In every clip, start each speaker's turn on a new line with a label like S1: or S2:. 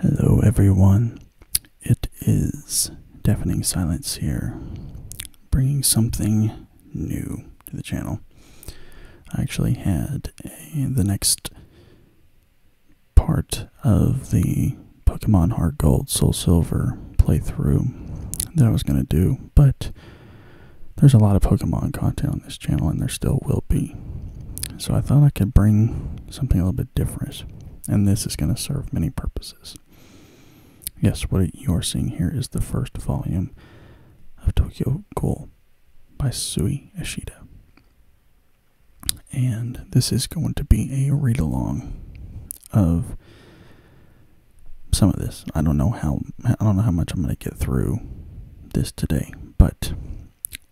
S1: Hello, everyone. It is Deafening Silence here, bringing something new to the channel. I actually had the next part of the Pokemon Heart Gold, Soul Silver playthrough that I was going to do, but there's a lot of Pokemon content on this channel, and there still will be. So I thought I could bring something a little bit difference, and this is going to serve many purposes. Yes, what you are seeing here is the first volume of Tokyo Cool by Sui Ishida. And this is going to be a read along of some of this. I don't know how I don't know how much I'm going to get through this today, but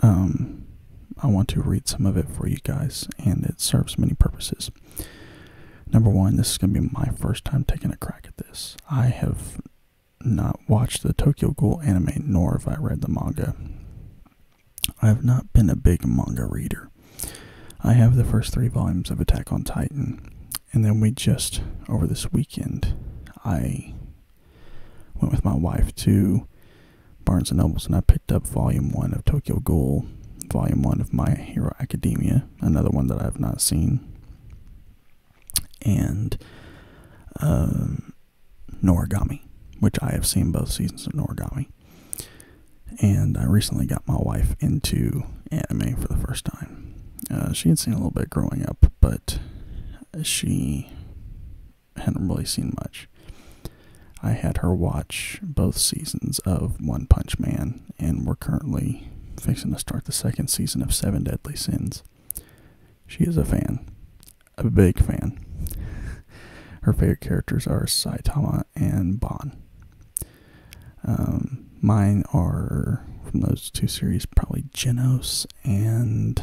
S1: um, I want to read some of it for you guys, and it serves many purposes. Number one, this is going to be my first time taking a crack at this. I have not watched the Tokyo Ghoul anime, nor have I read the manga. I have not been a big manga reader. I have the first three volumes of Attack on Titan, and then we just, over this weekend, I went with my wife to Barnes and Nobles, and I picked up Volume One of Tokyo Ghoul, Volume One of My Hero Academia, another one that I have not seen, and um, Noragami, which I have seen both seasons of Noragami. And I recently got my wife into anime for the first time. Uh, she had seen a little bit growing up, but she hadn't really seen much. I had her watch both seasons of One Punch Man, and we're currently fixing to start the second season of Seven Deadly Sins. She is a fan, a big fan. Her favorite characters are Saitama and Bon. Um, mine are from those two series probably Genos and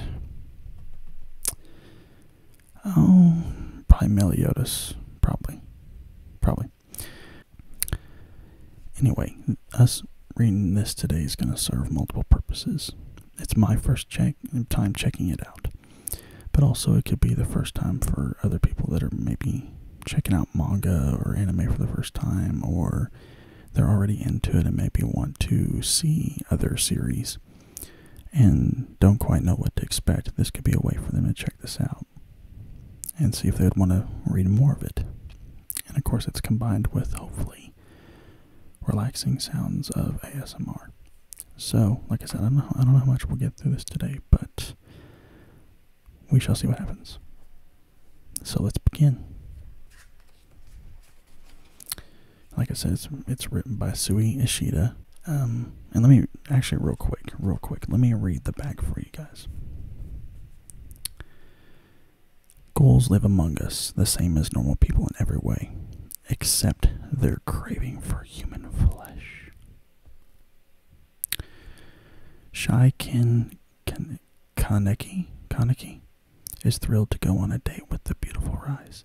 S1: Oh, probably Meliodas. Probably. Probably. Anyway, us reading this today is going to serve multiple purposes. It's my first check time checking it out, but also it could be the first time for other people that are maybe checking out manga or anime for the first time, or they're already into it and maybe want to see other series and don't quite know what to expect, this could be a way for them to check this out and see if they would want to read more of it. And of course, it's combined with hopefully relaxing sounds of ASMR. So, like I said, I don't know, I don't know how much we'll get through this today, but we shall see what happens. So let's begin. Like I said, it's, it's written by Sui Ishida. Um, and let me actually, real quick, real quick, let me read the back for you guys. Ghouls live among us, the same as normal people in every way, except their craving for human flesh. Shai Kin Kaneki, Kaneki is thrilled to go on a date with the beautiful Rise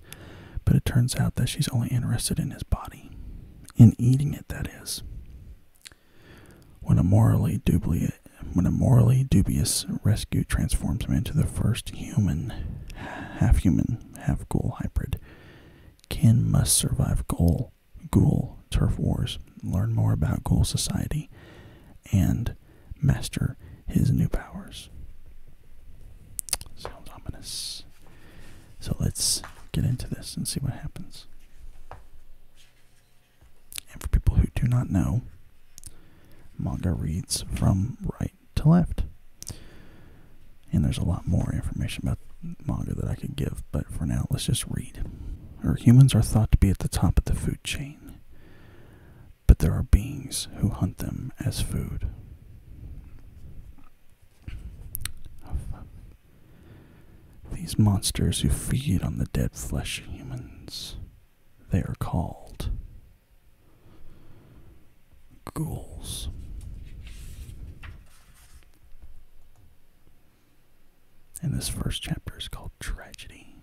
S1: but it turns out that she's only interested in his body, in eating it, that is. When a morally dubious, when a morally dubious rescue transforms him into the first human, half human, half ghoul hybrid, Ken must survive ghoul, ghoul turf wars, learn more about ghoul society, and master his new powers. Sounds ominous. So let's get into this and see what happens. And for people who do not know, manga reads from right to left. And there's a lot more information about manga that I could give, but for now, let's just read. humans are thought to be at the top of the food chain, but there are beings who hunt them as food these monsters who feed on the dead flesh of humans. They are called ghouls. And this first chapter is called Tragedy.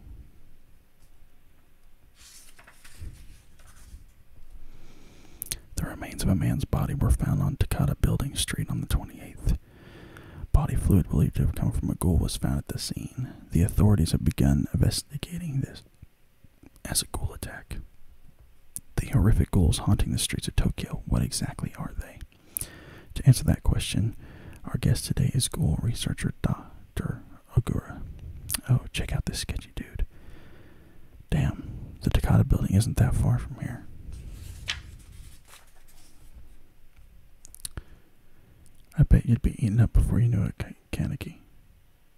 S1: The remains of a man's body were found on Takata Building Street on the 28th. Body fluid believed to have come from a ghoul was found at the scene. The authorities have begun investigating this as a ghoul attack. The horrific ghouls haunting the streets of Tokyo, what exactly are they? To answer that question, our guest today is ghoul researcher Dr. Ogura. Oh, check out this sketchy dude. Damn, the Takata building isn't that far from here. I bet you'd be eaten up before you knew it, Kaneki.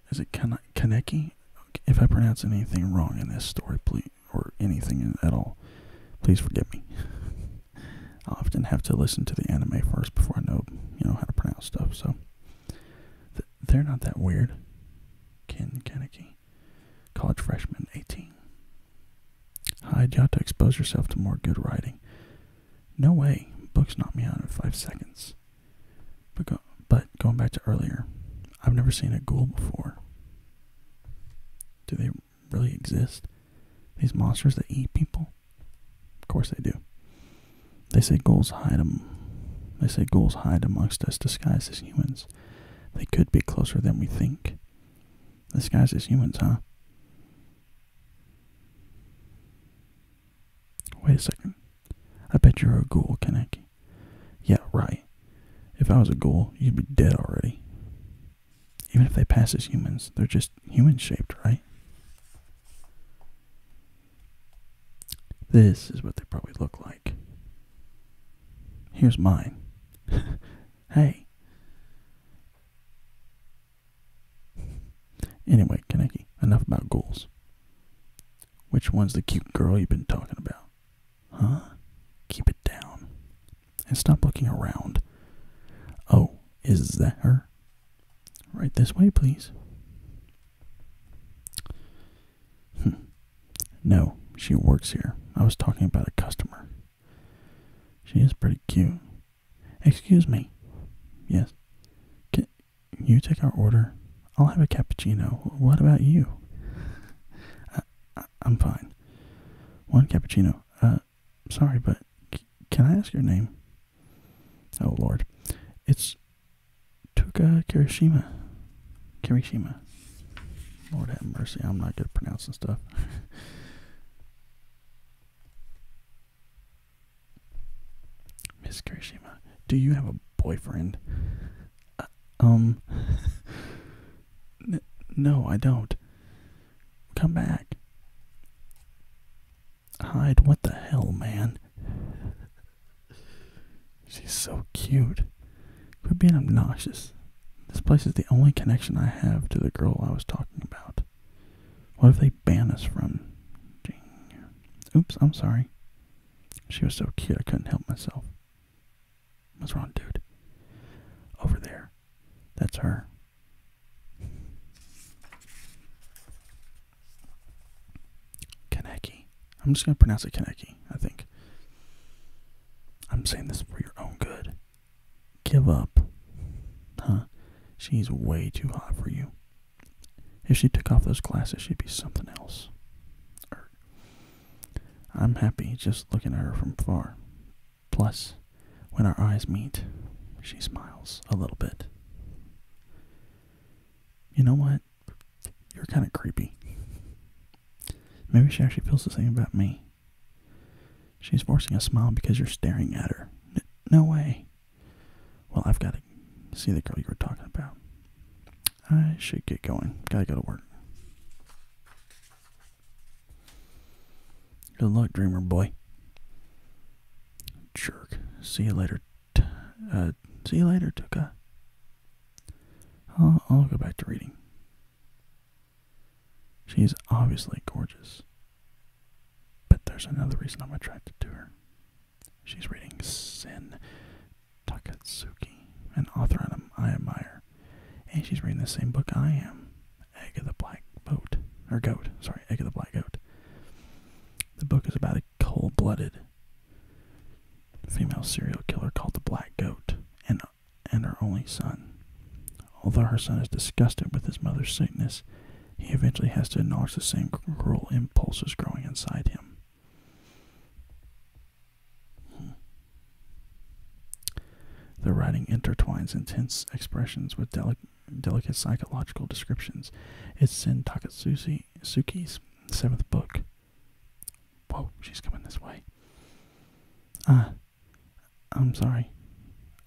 S1: Is it Kan Kaneki? If I pronounce anything wrong in this story, please, or anything at all, please forgive me. I often have to listen to the anime first before I know, you know, how to pronounce stuff. So, they're not that weird. Ken Kaneki, college freshman, 18. Hyde, you ought to expose yourself to more good writing. No way. Books knock me out in five seconds. But, go, but going back to earlier, I've never seen a ghoul before. Do they really exist? These monsters that eat people? Of course they do. They say goals hide them. They say goals hide amongst us disguised as humans. They could be closer than we think. Disguised as humans, huh? Wait a second. I bet you're a ghoul, Kaneki. Yeah, right. If I was a ghoul, you'd be dead already. Even if they pass as humans, they're just human shaped, right? This is what they probably look like. Here's mine. hey. Anyway, Kaneki, enough about goals. Which one's the cute girl you've been talking about? Huh? Keep it down. And stop looking around. Oh, is that her? Right this way, please. Hmm. No, she works here. I was talking about a customer. She is pretty cute. Excuse me. Yes. Can you take our order? I'll have a cappuccino. What about you? Uh, I, am fine. One cappuccino. Uh, sorry, but can I ask your name? Oh, Lord. It's Tuka Kirishima. Kirishima. Lord have mercy, I'm not good at pronouncing stuff. Miss Kirishima, do you have a boyfriend? Uh, um, no, I don't. Come back. Hide, what the hell, man? She's so cute. Quit being obnoxious. This place is the only connection I have to the girl I was talking about. What if they ban us from? Oops, I'm sorry. She was so cute I couldn't help myself. What's wrong, dude? Over there. That's her. Kaneki. I'm just going to pronounce it Kaneki, I think. I'm saying this for your own good. Give up. Huh? She's way too hot for you. If she took off those glasses, she'd be something else. Er, I'm happy just looking at her from far. Plus, when our eyes meet, she smiles a little bit. You know what? you're kind of creepy. Maybe she actually feels the same about me. She's forcing a smile because you're staring at her. No way. Well, I've got to see the girl you were talking about. I should get going. Gotta go to work. Good luck, dreamer boy. Jerk. See you later, uh, see you later, Tuka. I'll, go back to reading. She's obviously gorgeous, but there's another reason I'm attracted to her. She's reading Sin Takatsuki, an author I admire, and she's reading the same book I am, Egg of the Black Goat or Goat, sorry, Egg of the Black Goat. The book is about a cold blooded female serial killer called the Black Goat and, and her only son. Although her son is disgusted with his mother's sickness, he eventually has to acknowledge the same cruel impulses growing inside him. The writing intertwines intense expressions with delicate psychological descriptions. It's Sen Suki, seventh book. Whoa, she's coming this way. Ah, I'm sorry.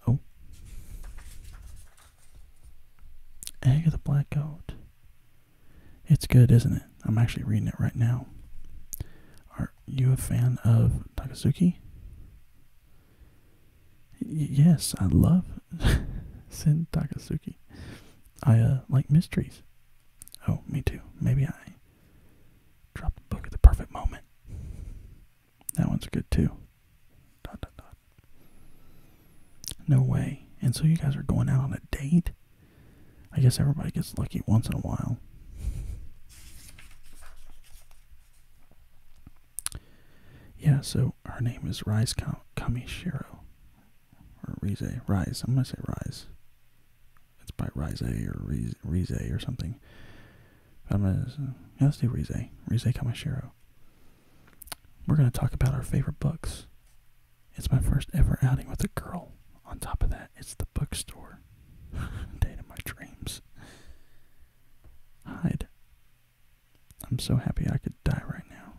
S1: Oh. Egg of the Black Goat. It's good, isn't it? I'm actually reading it right now. Are you a fan of Takazuki? yes, I love Sin Takazuki. I uh, like mysteries. Oh, me too. Maybe I dropped the book at the perfect moment. That one's good too. Dot, dot, dot. No way. And so you guys are going out on a date? I guess everybody gets lucky once in a while. Yeah, so her name is Rise Shiro or Rize, Rise. I'm gonna say Rise. It's by Rise or Rize, or something. I'm gonna yeah, let's do Rize. Rize Kamashiro. We're gonna talk about our favorite books. It's my first ever outing with a girl. On top of that, it's the bookstore. Date of my dreams. Hide. I'm so happy I could die right now.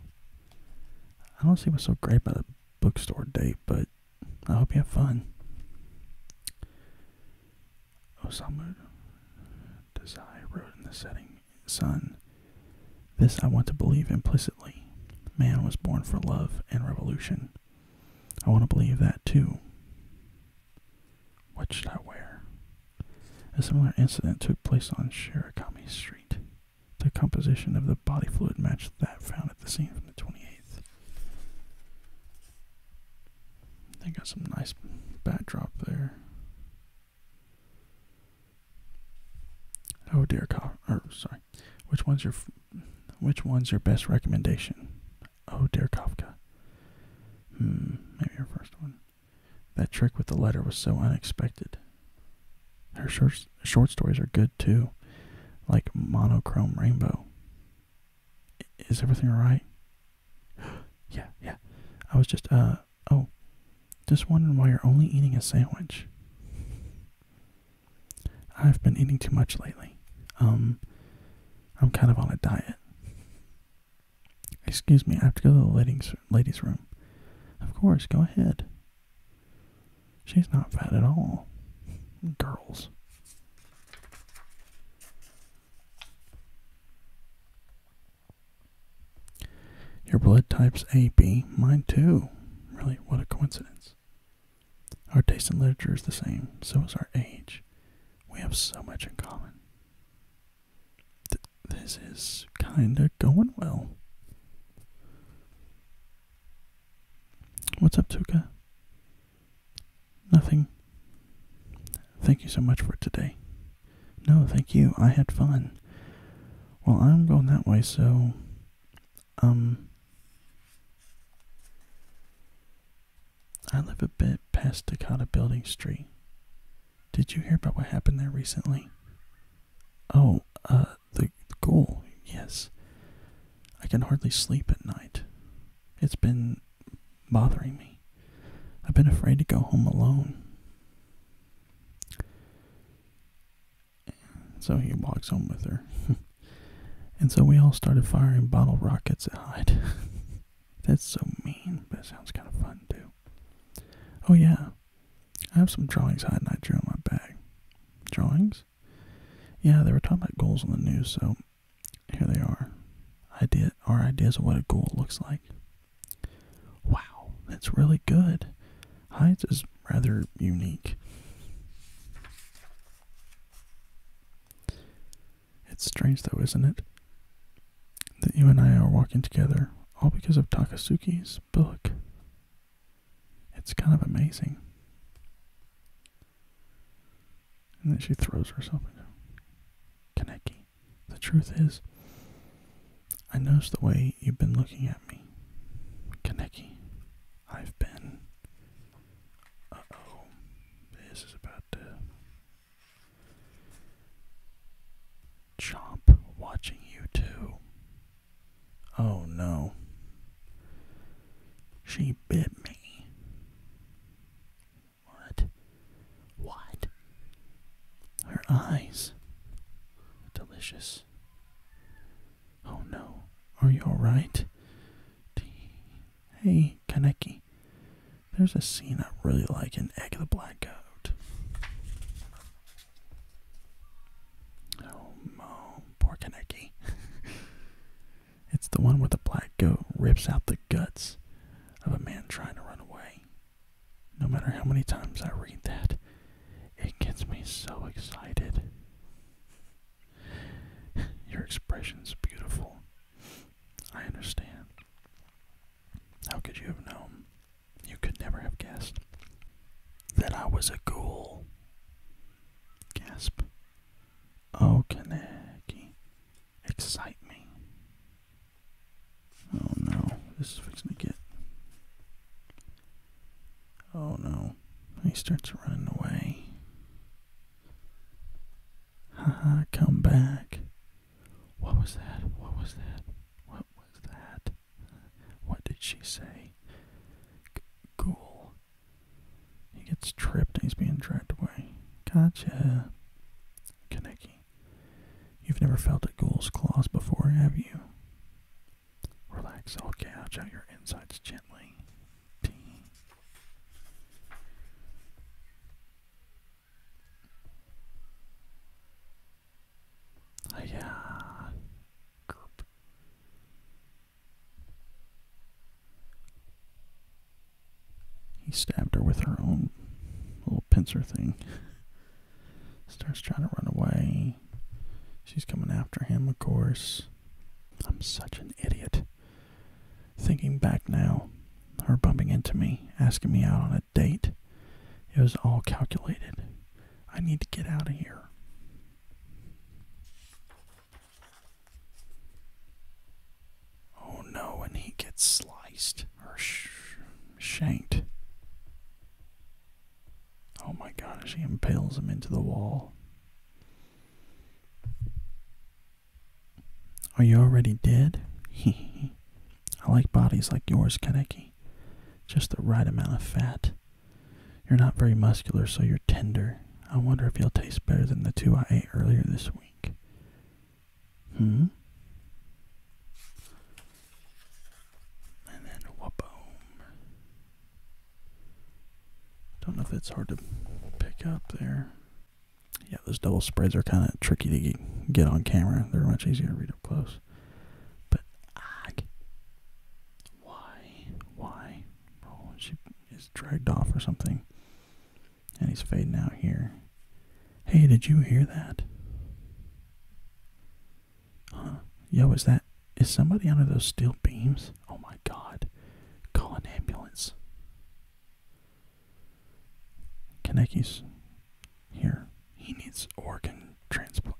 S1: I don't see what's so great about a bookstore date, but I hope you have fun. Osamu Dazai wrote in the setting, sun. this I want to believe implicitly. Man was born for love and revolution. I want to believe that too. What should I wear? A similar incident took place on Shirakami Street. The composition of the body fluid matched that found at the scene from the 28th. They got some nice backdrop there. Oh dear, or sorry, which one's your, which one's your best recommendation? Oh dear, Kafka. Hmm, maybe your first one. That trick with the letter was so unexpected. Her short, stories are good too, like Monochrome Rainbow. Is everything alright? yeah, yeah. I was just, uh, oh, just wondering why you're only eating a sandwich. I've been eating too much lately. Um, I'm kind of on a diet. Excuse me, I have to go to the ladies' ladies' room. Of course, go ahead. She's not fat at all. Girls. Your blood type's AB, mine too. Really, what a coincidence. Our taste in literature is the same, so is our age. We have so much in common this is kinda going well. What's up, Tuka? Nothing. Thank you so much for today. No, thank you. I had fun. Well, I'm going that way, so. Um. I live a bit past Takata Building Street. Did you hear about what happened there recently? Oh, uh, the goal, yes. I can hardly sleep at night. It's been bothering me. I've been afraid to go home alone. So he walks home with her. and so we all started firing bottle rockets at Hyde. That's so mean, but it sounds kind of fun too. Oh, yeah. I have some drawings hiding I drew in my bag. Drawings? Yeah, they were talking about goals in the news, so here they are. Idea, our ideas of what a goal looks like. Wow, that's really good. Heights is rather unique. It's strange though, isn't it? That you and I are walking together, all because of Takasuki's book. It's kind of amazing. And then she throws herself into Kaneki. The truth is, I noticed the way you've been looking at me, Kaneki. I've been. Uh oh. This is about to. Chomp watching you too. Oh no. She bit me. What? What? Her eyes. Delicious. Oh no. Are you alright? Hey, Kaneki. There's a scene I really like in Egg the Black Goat. Homo oh, oh, porcanecki. it's the one where the black goat rips out the guts of a man trying to run away. No matter how many times I read that, it gets me so excited. Your expression's beautiful. I understand. How could you have known? You could never have guessed that I was a ghoul. Gasp. Oh, can I excite me. Oh no, this is fixing to get. Oh no, he starts running away. Haha, come back. What was that? What was that? What was that? What did she say? ghoul. He gets tripped and he's being dragged away. Gotcha. Kaneki. You've never felt a ghoul's claws before, have you? Relax, I'll gouge out your insides gently. Pee. Oh, yeah. Group. He stabbed her with her own little pincer thing. Starts trying to run away. She's coming after him, of course. I'm such an idiot. Thinking back now, her bumping into me, asking me out on a date, it was all calculated. I need to get out of here. Oh no, and he gets sliced or shanked. Oh my God, she impales him into the wall. Are you already dead? I like bodies like yours, Kaneki just the right amount of fat. You're not very muscular, so you're tender. I wonder if you'll taste better than the two I ate earlier this week. Hmm? And then whaboom. Don't know if that's hard to pick up there. Yeah, those double spreads are kind of tricky to get on camera. They're much easier to read up close. But Why? Why? Oh, she is dragged off or something. And he's fading out here. Hey, did you hear that? Huh? Yo, is that is somebody under those steel beams? Oh my god. Call an ambulance. Kaneki's here. He needs organ transplant.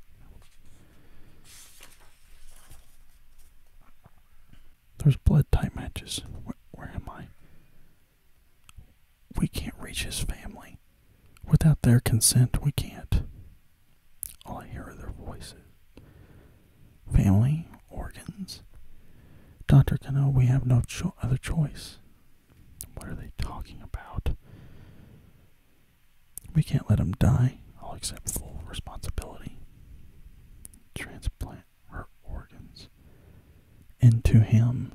S1: There's blood type matches. Where, am I? We can't reach his family. Without their consent, we can't. All I hear are their voices. Family, organs. Dr. Cano, we have no other choice. What are they talking about? We can't let him die. I'll accept full responsibility. Transplant her organs into him.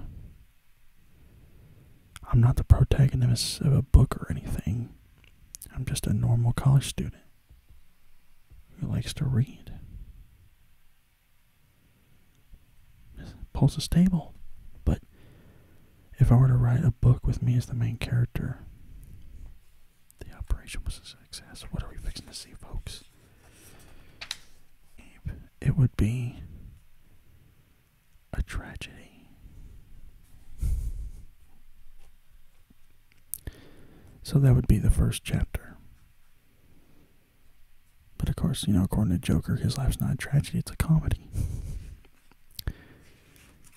S1: I'm not the protagonist of a book or anything. I'm just a normal college student who likes to read. Pulse is stable, but if I were to write a book with me as the main character. The operation was a success. What are we fixing to see, folks? It would be a tragedy. So that would be the first chapter. But of course, you know, according to Joker, his life's not a tragedy, it's a comedy.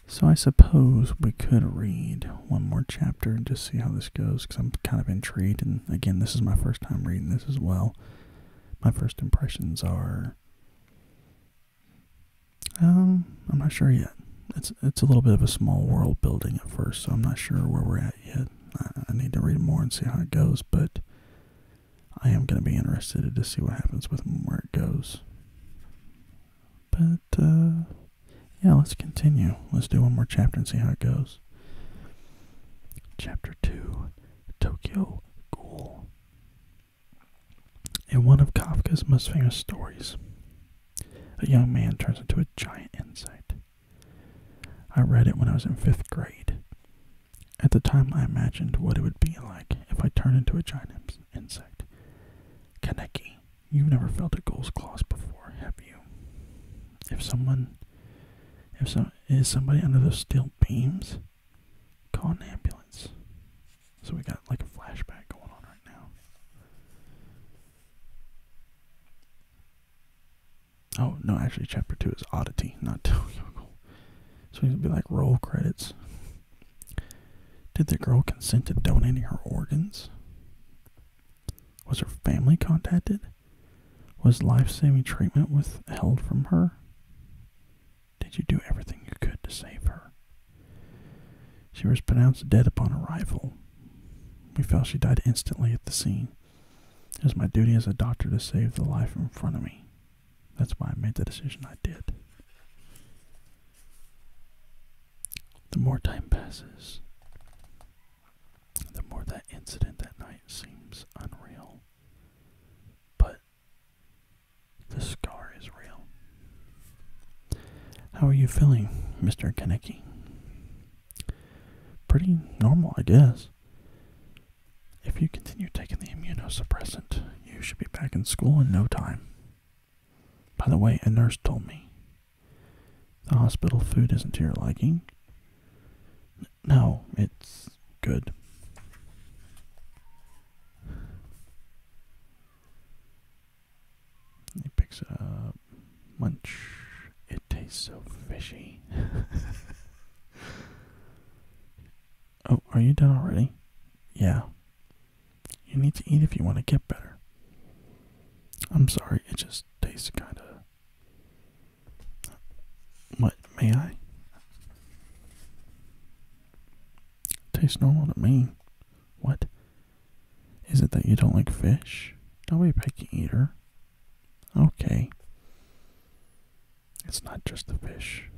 S1: So I suppose we could read one more chapter and just see how this goes because I'm kind of intrigued. And again, this is my first time reading this as well. My first impressions are, um, I'm not sure yet. It's it's a little bit of a small world building at first, so I'm not sure where we're at yet. I, I need to read more and see how it goes, but I am going to be interested to see what happens with him, where it goes. But, uh, yeah, let's continue. Let's do one more chapter and see how it goes. Chapter 2 Tokyo Ghoul. In one of Kafka's most famous stories, a young man turns into a giant insect. I read it when I was in fifth grade. At the time, I imagined what it would be like if I turned into a giant insect. Kaneki, you've never felt a ghoul's claws before, have you? If someone, if so, is somebody under those steel beams, call an ambulance. So we got like a flashback going on right now. Oh no, actually, chapter two is oddity, not Tokyo. So he's gonna be like roll credits. Did the girl consent to donating her organs? Was her family contacted? Was life saving treatment withheld from her? Did you do everything you could to save her? She was pronounced dead upon arrival. We felt she died instantly at the scene. It was my duty as a doctor to save the life in front of me. That's why I made the decision I did. The more time passes, the more that incident that night seems unreal. But the scar is real. How are you feeling, Mr. Kaneki? Pretty normal, I guess. If you continue taking the immunosuppressant, you should be back in school in no time. By the way, a nurse told me the hospital food isn't to your liking. no, it's good. He picks up. Munch. It tastes so fishy. Oh, are you done already? Yeah. You need to eat if you want to get better. I'm sorry, it just tastes kind of. What? May I? Tastes normal to me. What? Is it that you don't like fish? I'll be a picky eater. Okay. It's not just the fish.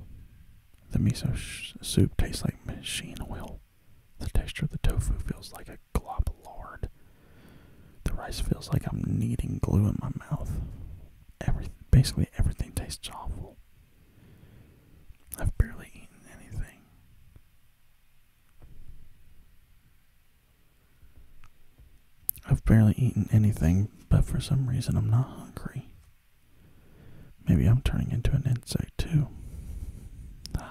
S1: The miso soup tastes like machine oil. The texture of the tofu feels like a glob of lard. The rice feels like I'm kneading glue in my mouth. Every, basically, everything tastes awful. I've barely eaten anything. I've barely eaten anything, but for some reason I'm not hungry. Maybe I'm turning into an insect too.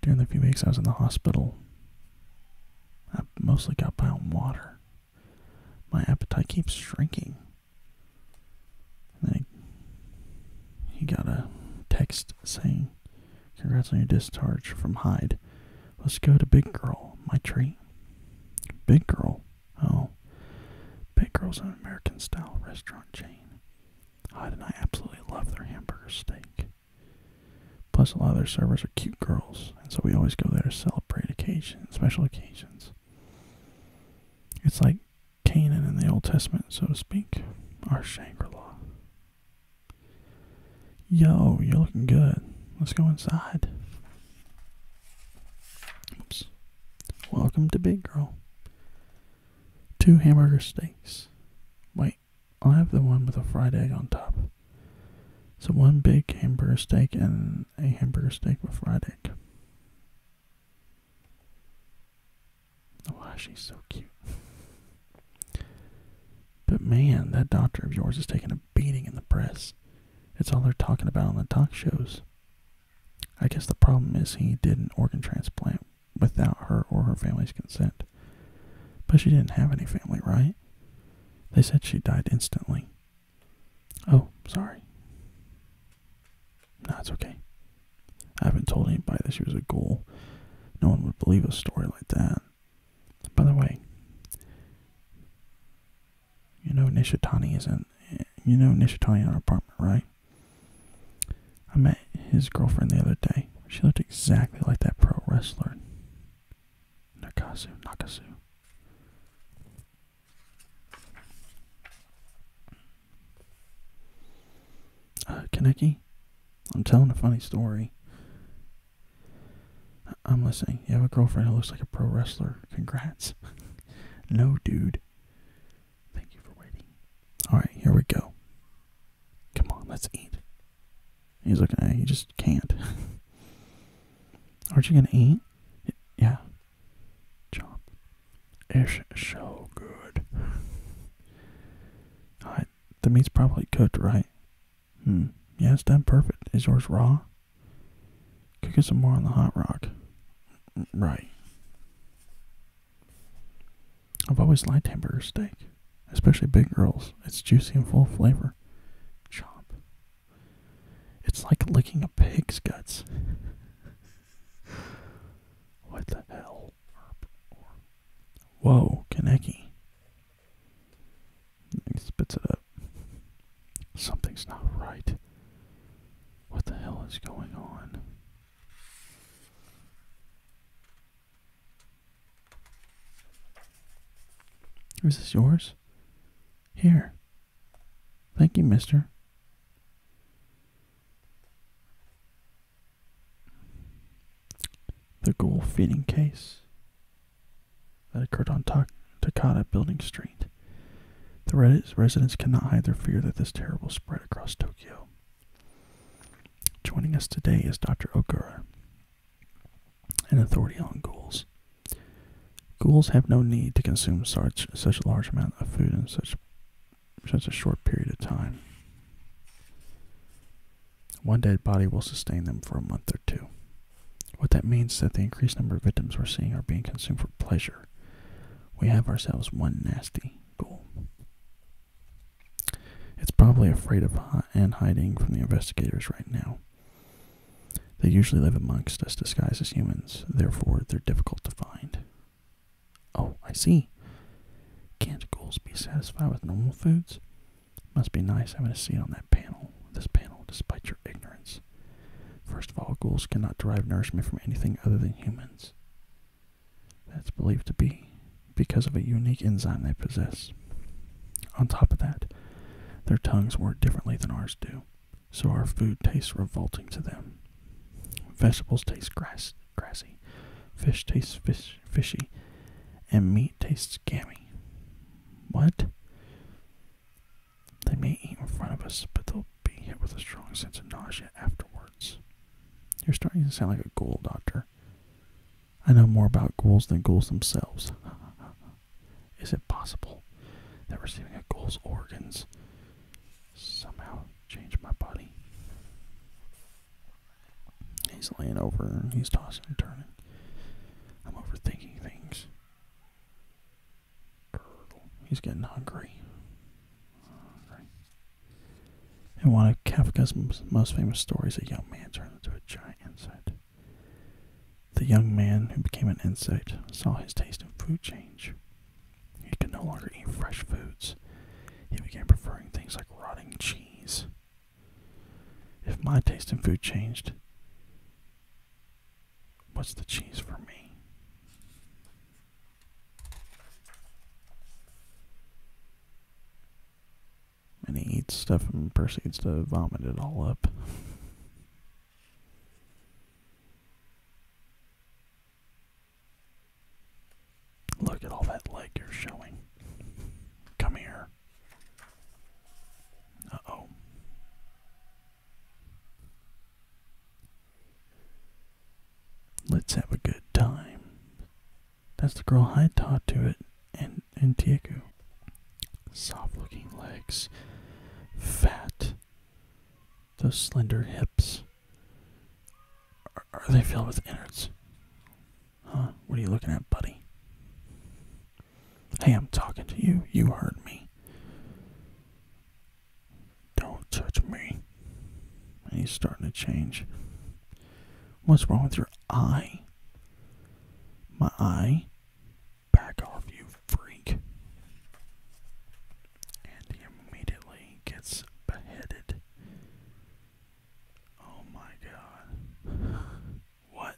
S1: During the few weeks I was in the hospital, I mostly got by on water. My appetite keeps shrinking. then he got a text saying, Congrats on your discharge from Hyde. Let's go to Big Girl, my treat. Big Girl? Oh. Big Girl's an American style restaurant chain. Hyde and I absolutely love their hamburger steak. Plus, a lot of their servers are cute girls, and so we always go there to celebrate occasions, special occasions. It's like Canaan in the Old Testament, so to speak, our Shangri La. Yo, you're looking good. Let's go inside. Oops. Welcome to Big Girl. Two hamburger steaks. Wait, I'll have the one with a fried egg on top. So one big hamburger steak and a hamburger steak with fried egg. Oh, wow, she's so cute. But man, that doctor of yours is taking a beating in the press. It's all they're talking about on the talk shows. I guess the problem is he did an organ transplant without her or her family's consent. But she didn't have any family, right? They said she died instantly. Oh, sorry. No, it's okay. I haven't told anybody that she was a ghoul. No one would believe a story like that. By the way, you know Nishitani is in. You know Nishitani in our apartment, right? I met his girlfriend the other day. She looked exactly like that pro wrestler, Nakasu. Nakasu. Uh, Kaneki, I'm telling a funny story. I'm listening. You have a girlfriend who looks like a pro wrestler. Congrats. no, dude. Thank you for waiting. Alright, here we go. Come on, let's eat. He's looking at you. He just can't. Aren't you going to eat? Yeah. Chop. It's so good. the meat's probably cooked, right? Hmm. Yeah, it's done perfect. Is yours raw? Could get some more on the hot rock. Right. I've always liked hamburger steak, especially big girls. It's juicy and full of flavor. Chop. It's like licking a pig's guts. what the hell? Whoa, Kaneki. He spits it up. Something's not right. What the hell is going on? Is this yours? Here. Thank you, mister. The ghoul feeding case that occurred on Takada Building Street. The residents cannot hide their fear that this terror will spread across Tokyo. Joining us today is Dr. Okura, an authority on ghouls. Ghouls have no need to consume such, such a large amount of food in such, such a short period of time. One dead body will sustain them for a month or two. What that means is that the increased number of victims we're seeing are being consumed for pleasure. We have ourselves one nasty goal. It's probably afraid of and hiding from the investigators right now. They usually live amongst us disguised as humans, therefore, they're difficult to find. Oh, I see. Can't ghouls be satisfied with normal foods? Must be nice having a seat on that panel, this panel, despite your ignorance. First of all, ghouls cannot derive nourishment from anything other than humans. That's believed to be because of a unique enzyme they possess. On top of that, their tongues work differently than ours do, so our food tastes revolting to them. Vegetables taste grassy, fish tastes fishy, and meat meat tastes gammy. What? They may eat in front of us, but they'll be hit with a strong sense of nausea afterwards. You're starting to sound like a ghoul, Doctor. I know more about ghouls than ghouls themselves. Is it possible that receiving a ghoul's organs somehow changed my body? He's laying over, he's tossing and turning. I'm overthinking things. He's getting hungry. And one of Kafka's most famous stories, is a young man turned into a giant insect. The young man who became an insect saw his taste in food change. He could no longer eat fresh foods. He began preferring things like rotting cheese, if my taste in food changed, what's the cheese for me? And he eats stuff and proceeds to vomit it all up. Look at all that leg you're showing. Come here. Uh oh. Let's have a good time. That's the girl I taught to it and and Tieku. Soft looking legs. Fat. Those slender hips. are they filled with innards? Huh? What are you looking at, buddy? Hey, I'm talking to you. You heard me. Don't touch me. And he's starting to change. What's wrong with your eye? My eye? Back off, you freak. And he immediately gets beheaded. Oh my god. what?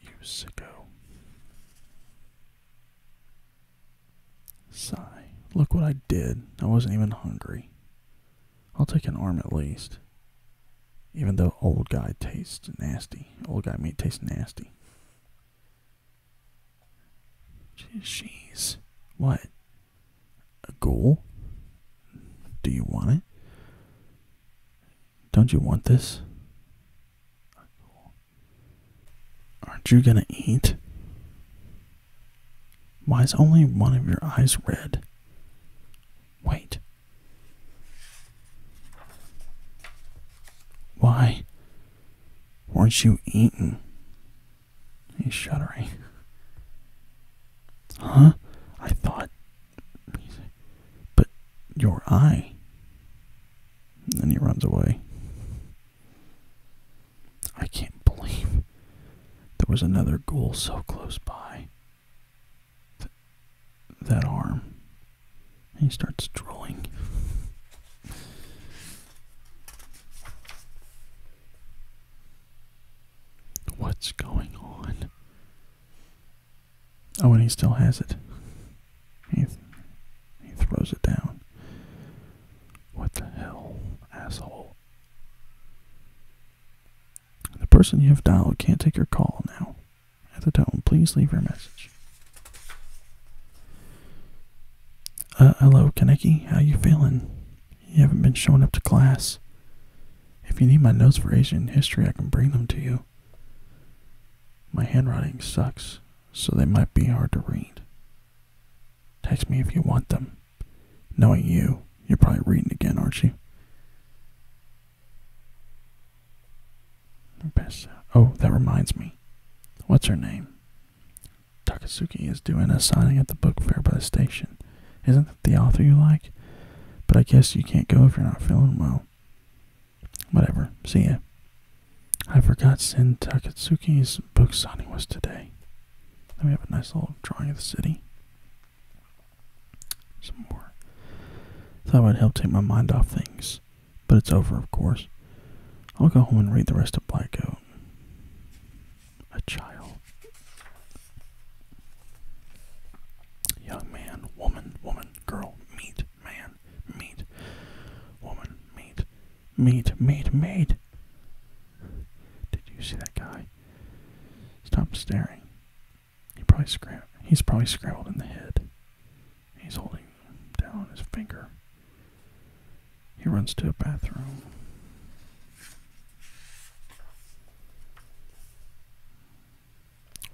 S1: You sicko. Sigh. Look what I did. I wasn't even hungry. I'll take an arm at least. Even though old guy tastes nasty. Old guy meat tastes nasty. Jeez, what? A goal? Do you want it? Don't you want this? Aren't you gonna eat? Why is only one of your eyes red? Wait. Why Weren't you eaten? He's shuddering. Huh? I thought. But your eye. And then he runs away. I can't believe there was another ghoul so close by. that arm he starts drawing. What's going on? Oh, and he still has it. He, he throws it down. What the hell, asshole? The person you have dialed can't take your call now. At the tone, please leave your message. Uh, hello, Kaneki. How you feeling? You haven't been showing up to class. If you need my notes for Asian history, I can bring them to you. My handwriting sucks, so they might be hard to read. Text me if you want them. Knowing you, you're probably reading again, aren't you? Oh, that reminds me. What's her name? Takasuki is doing a signing at the book fair by the station. Isn't that the author you like? But I guess you can't go if you're not feeling well. Whatever. See ya. I forgot Sen Takatsuki's book signing was today. Then we have a nice little drawing of the city. Some more. Thought it would help take my mind off things. But it's over, of course. I'll go home and read the rest of Blackout. A child. Young man, woman, woman, girl, meat, man, meat, woman, meat, meat, meat, meat. Did you see that guy? Stop staring. He probably scram he's probably scrambled in the head. He's holding down his finger. He runs to a bathroom.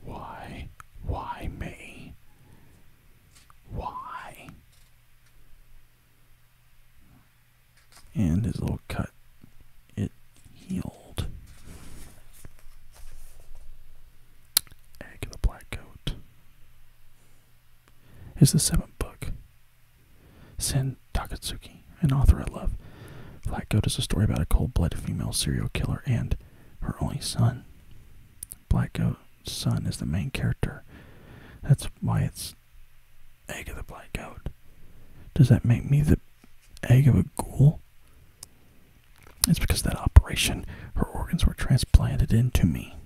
S1: Why? Why me? Why? And his little cut, it healed. Egg of the black coat is the seventh book. Sen Takatsuki, an author I love. Black Goat is a story about a cold-blooded female serial killer and her only son. Black Goat's son is the main character. That's why it's egg of the black goat. Does that make me the egg of a ghoul? It's because that operation, her organs were transplanted into me.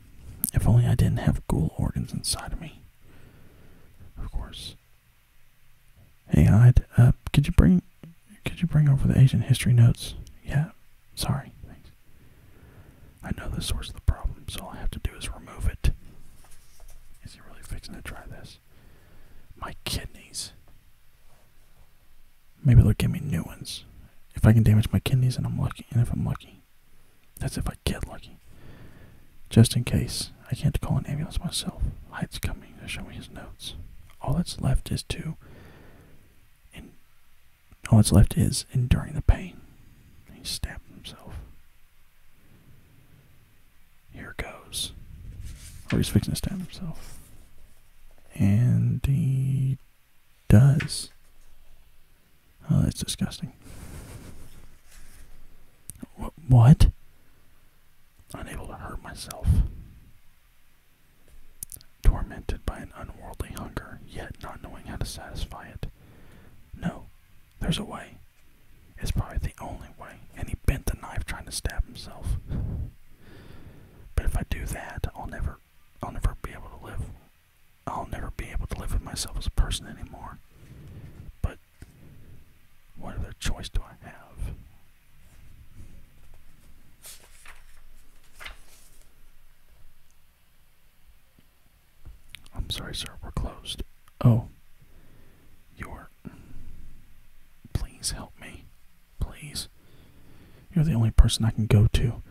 S1: If only I didn't have ghoul organs inside of me. Of course. Hey, Hyde. uh, could you bring, could you bring over the Asian history notes? Yeah, sorry, thanks. I know the source of the problem, so all I have to do is remove it. Is he really fixing to try this? My kidneys. Maybe they'll give me new ones. If I can damage my kidneys and I'm lucky, and if I'm lucky. That's if I get lucky. Just in case, I can't call an ambulance myself. Hyde's coming to show me his notes. All that's left is to all that's left is enduring the pain. He stabbed himself. Here goes. Or oh, he's fixing to stab himself. And he does. Oh, that's disgusting. What? Unable to hurt myself. Tormented by an unworldly hunger, yet not knowing how to satisfy it. No, there's a way. It's probably the only way. And he bent the knife trying to stab himself. But if I do that, I'll never I'll never be able to live. I'll never be able to live with myself as a person anymore. But what other choice do I have? I'm sorry, sir, we're closed. Oh, you Please help me. Please. You're the only person I can go to.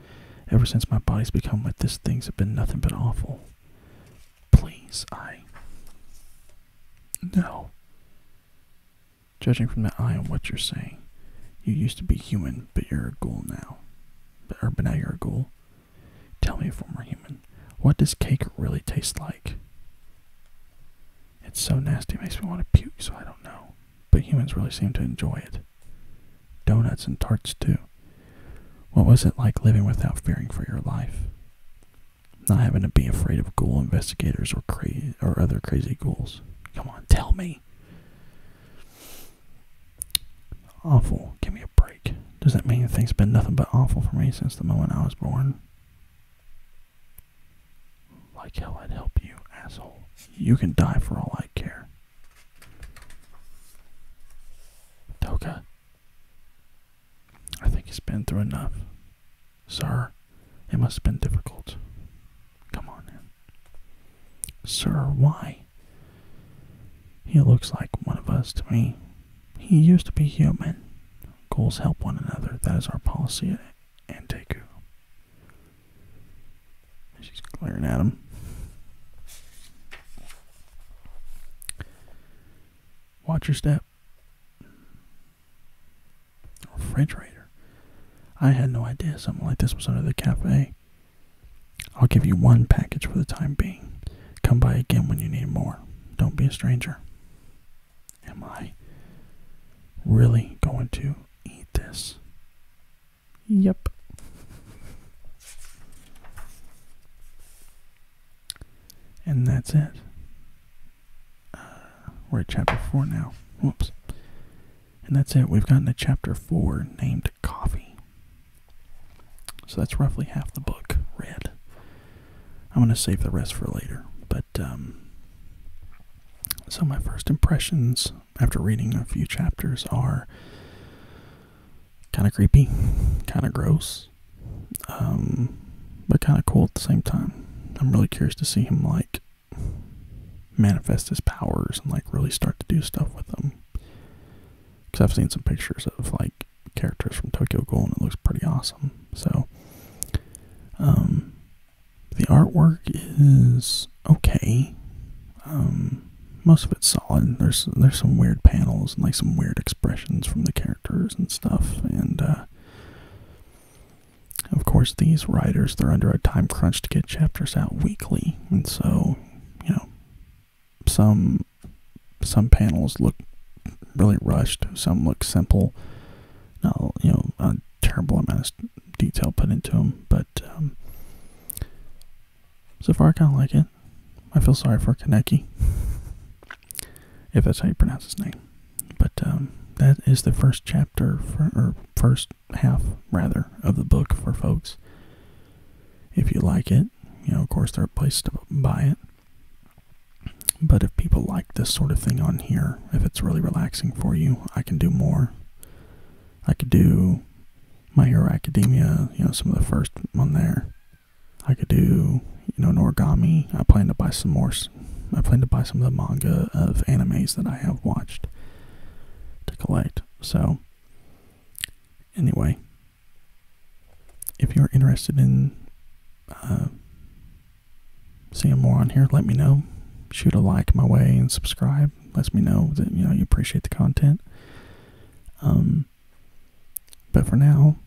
S1: Ever since my body's become like this, things have been nothing but awful. Please, I. No. Judging from the eye of what you're saying, you used to be human, but you're a ghoul now. But, or, but now you're a ghoul. Tell me if we're human. What does cake really taste like? It's so nasty, it makes me want to puke, so I don't know but humans really seem to enjoy it. Donuts and tarts, too. What was it like living without fearing for your life? Not having to be afraid of ghoul investigators or cra- or other crazy ghouls. Come on, tell me. Awful. Give me a break. Does that mean things have been nothing but awful for me since the moment I was born? Like hell, I'd help you, asshole. You can die for all I care. Toka. I think he's been through enough. Sir, it must have been difficult. Come on in. Sir, why? He looks like one of us to me. He used to be human. Goals help one another. That is our policy at Anteku. She's glaring at him. Watch your step. Refrigerator. I had no idea something like this was under the cafe. I'll give you one package for the time being. Come by again when you need more. Don't be a stranger. Am I really going to eat this? Yep. And that's it. Uh, we're at chapter 4 now. Whoops. And that's it. We've gotten to chapter 4 named Coffee. So that's roughly half the book read. I'm going to save the rest for later. But, um, so my first impressions after reading a few chapters are kind of creepy, kind of gross, um, but kind of cool at the same time. I'm really curious to see him like manifest his powers and like really start to do stuff with them. Because I've seen some pictures of like characters from Tokyo Ghoul and it looks pretty awesome. So, um, the artwork is okay. most of it's solid. There's there's some weird panels and like some weird expressions from the characters and stuff. And uh, of course, these writers they're under a time crunch to get chapters out weekly, and so you know, some some panels look really rushed. Some look simple. Not you know a terrible amount of detail put into them, but um, so far, I kind of like it. I feel sorry for Kaneki, if that's how you pronounce his name. But um, that is the first chapter, or first half, rather, of the book for folks. If you like it, you know, of course, there are places to buy it. But if people like this sort of thing on here, if it's really relaxing for you, I can do more. I could do my Hero Academia, you know, some of the first one there. I could do, you know, an origami. I plan to buy some more. I plan to buy some of the manga of animes that I have watched to collect. So, anyway, if you're interested in uh, seeing more on here, let me know. Shoot a like my way and subscribe subscribe. Lets me know that you know you appreciate the content. Um, but for now,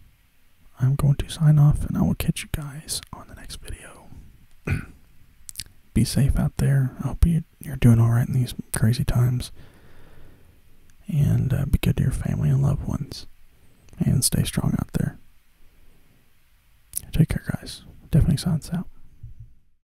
S1: I'm going to sign off, and I will catch you guys on the next video. Be safe out there. I hope you, you're doing all right in these crazy times. And uh, be good to your family and loved ones. And stay strong out there. Take care, guys. Definitely signs out.